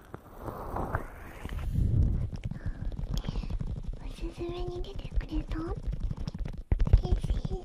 おすすめに出てくれた嬉しい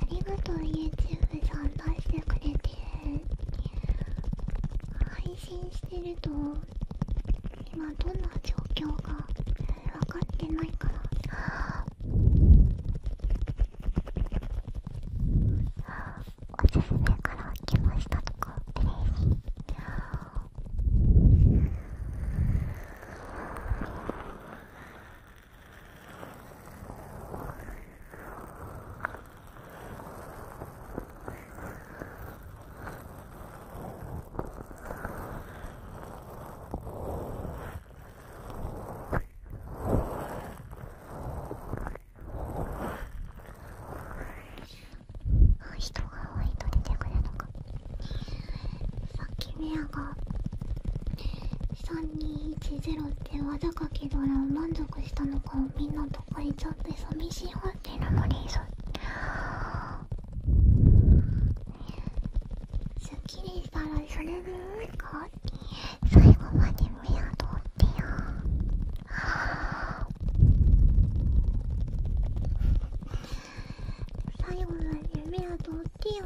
ありがとう YouTube さん出してくれて配信してると今どんな状況か分かってないからおすすめから来ましたとか嬉しい。あ人が多いと出てくるのかさっきメアが3210って技かけたら満足したのかをみんなとかいちゃって寂しいわけなのにさすっきりしたらそれでいいか最後までの宿ってよ最後まで夢宿ってよ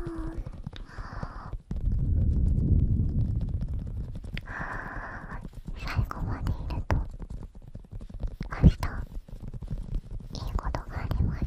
最後までいると明日いいことがあります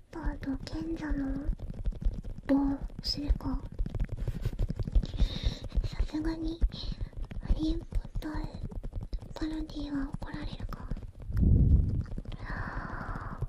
とあと賢者の棒するかさすがにハリー・ポッターパロディーは怒られるかああ。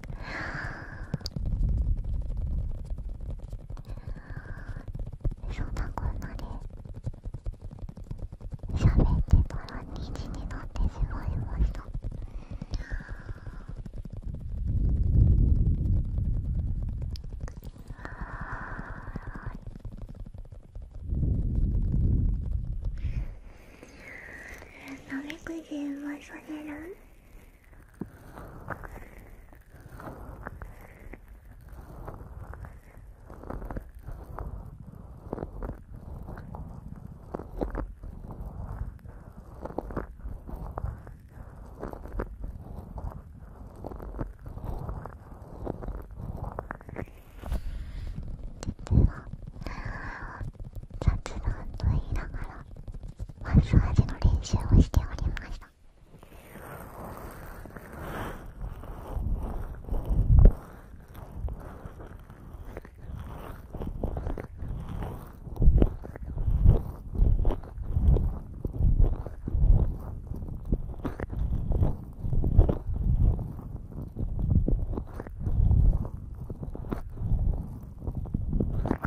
そんなこんなで喋ってたら2時になってしまいましたなめくじはそれる雑談と言いながらマッサージの練習をしておりました。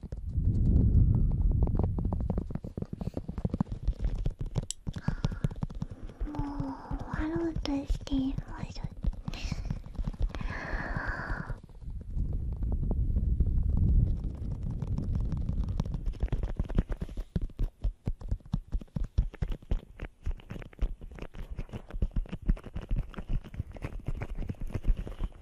終わろうとしていましょ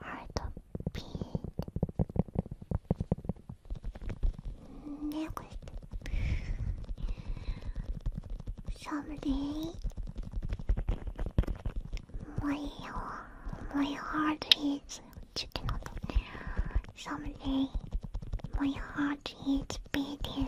Heart of pink. Nailed Someday, my, my heart is chicken. Someday, my heart is beating.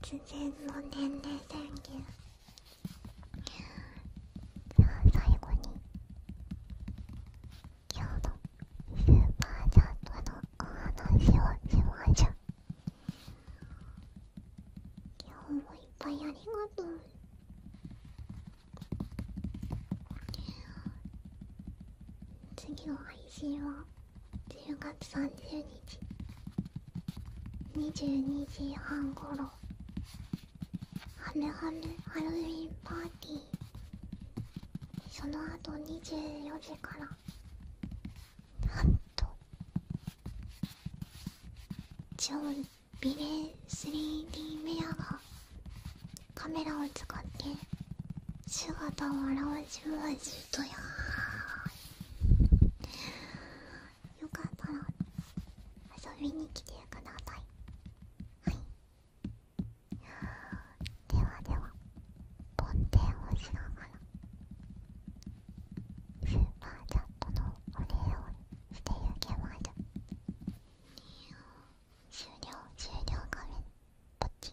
突然の年齢宣言では最後に今日のスーパーチャットのお話をしましょう今日もいっぱいありがとう次の配信は10月30日22時半頃。ろはるはるハロウィンパーティーその後24時からなんと超ビレ 3D メアがカメラを使って姿を表しましとやよかったら遊びに来てくださいはいではでは梵天をしながらスーパーチャットのお礼をしていけましょ終了終了画面ポチ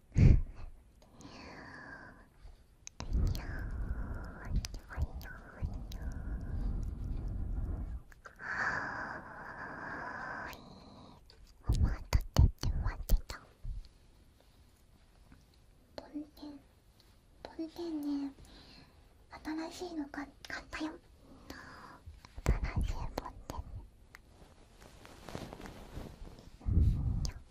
思わとってって待ってたボンデンボンデンね新しいの買ったよ新しいボンデンでかめー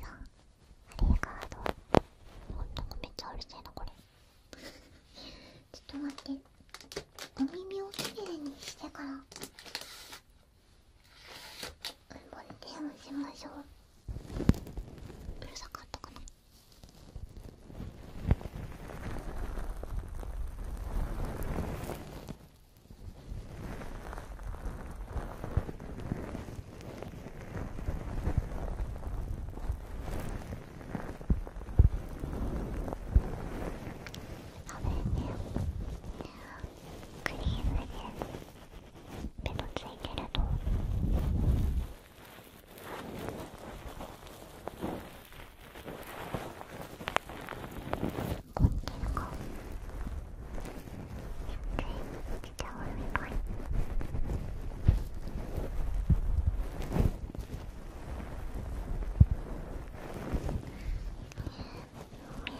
なありがとうほんとめっちゃうるせえなこれちょっと待ってお耳をきれいにしてからもう手をしましょううるさかったかなクリームでベロついてると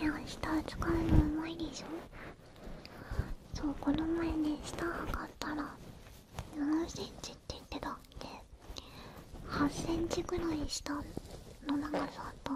ミラー下使うのうまいでしょこの前ね下測っっら7センチって言ってたっで8センチぐらい下の長さと